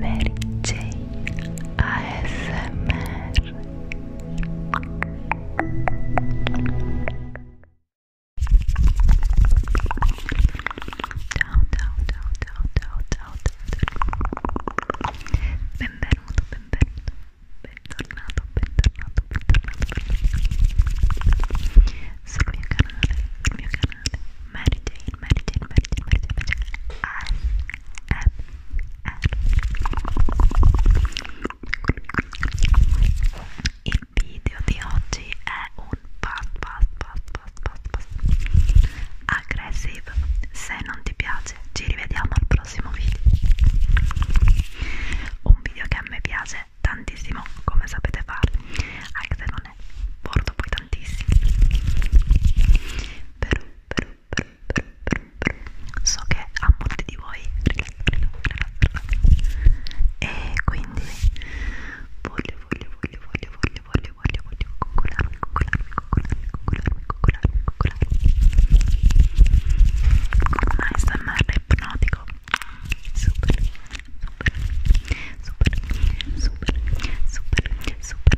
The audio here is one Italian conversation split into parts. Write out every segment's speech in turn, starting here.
Mary Jane ASMR Ciao ciao ciao ciao ciao ciao ciao Benvenuto, benvenuto, bentornato, bentornato, bentornato, bentornato sul mio canale, sul mio canale canale Mary Jane, Mary Jane, Mary Jane, Mary Jane, Mary Jane ASMR Il video di oggi è un fast, fast, fast, fast, fast, fast aggressive Se non ti piace ci rivediamo al prossimo video Un video che a me piace tantissimo come sapete fare anche se non ne porto poi tantissimi però, però, però, però, però, però so che a molti di voi e quindi voglio, voglio, voglio, voglio, voglio, voglio, voglio, voglio coccolarmi, coccolarmi, coccolarmi, coccolarmi, coccolarmi, coccolarmi un ah, ASMR ipnotico super, super, super, super, super, super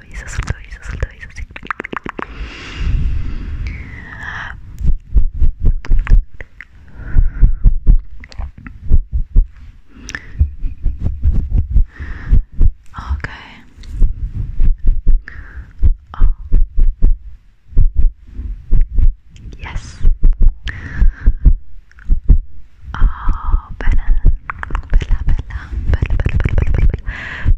Okay. Oh. Yes. Oh, Bella, Bella, Bella, Bella, Bella, Bella, Bella,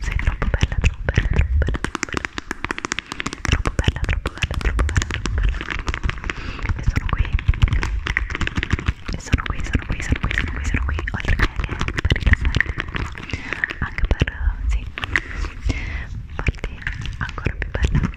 Sei troppo bella, troppo bella, troppo bella, troppo bella. Troppo bella, troppo bella, troppo bella, troppo bella. E sono qui. E sono qui, sono qui, sono qui, sono qui, sono qui. Oltre che per rilassarti. Anche per, sì, farti ancora più bella.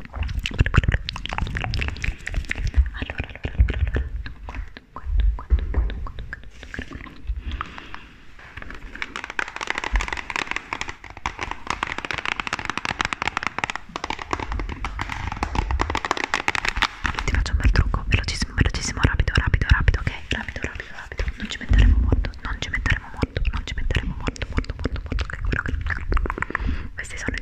allora, allora, allora, ti faccio un bel trucco, velocissimo, velocissimo, rapido, rapido, rapido, ok? Rapido, rapido, rapido, non ci metteremo molto, non ci metteremo molto, non ci metteremo molto, molto, molto, molto, ok? Quello che... Questi sono i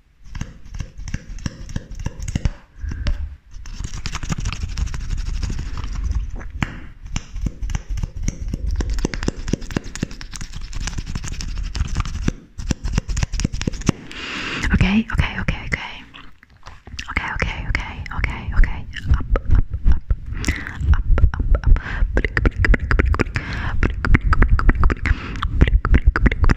Okay, okay, okay, okay. Okay, okay, okay, okay, okay. Up, up, up. Up, up, up.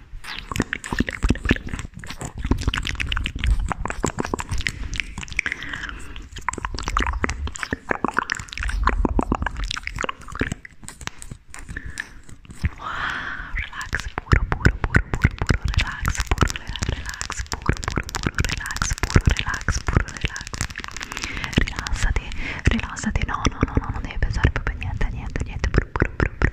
Wow, relax, puro, puro, puro, puro, puro, relax, puro, relax, puro, puro, puro, relax, puro, relax, puro, relax. Rilassati, rilassati, no, no, no, no, non devi pensare proprio niente, niente, niente, puro, puro, puro, puro.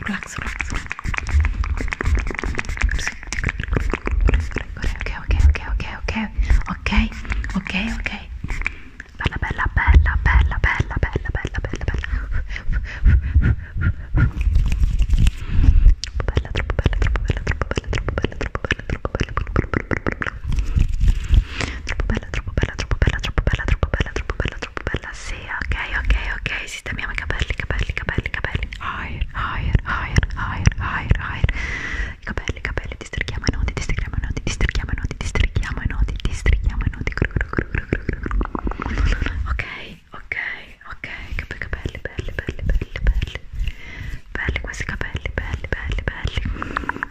relax, relax, ok, ok, ok, ok, ok, ok, ok, bella, bella, bella, bella, bella, bella, bella, bella, bella, Bella, troppo bella, troppo bella, troppo bella, troppo bella, troppo bella, troppo bella, troppo bella troppo bella, troppo bella, troppo bella, troppo bella, troppo bella, troppo bella, troppo bella, sì, ok, ok, ok, sistemiamo i capelli, capelli, capelli, capelli, higher, higher, higher, higher, higher, higher, i capelli, capelli, districchiamo i nodi, districchiamo i nodi, districchiamo i nodi, districchiamo i nodi, districchiamo i nodi, ok, ok, ok, capelli, belli, belli, belli, belli, belli questi capelli, belli, belli, belli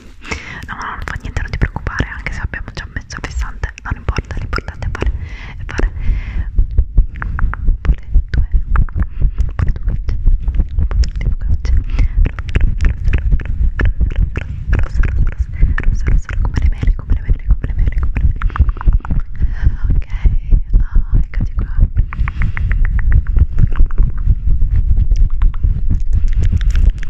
no ma non fa niente non ti preoccupare anche se abbiamo già messo il fissante non importa l'importante è fare è fare pure due pure due gocce rosa rosa rosa come le mele come le mele come le mele come le mele ok oh, eccoti qua ok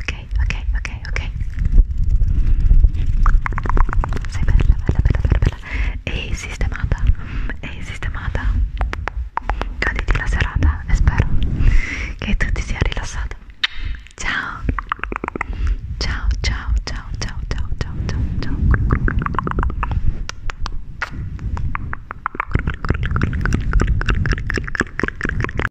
ok, ok, ok, ok sei bella, bella, bella, bella, bella e sistemata e sistemata goditi la serata e spero che tu ti sia rilassato ciao ciao, ciao, ciao, ciao, ciao, ciao, ciao, ciao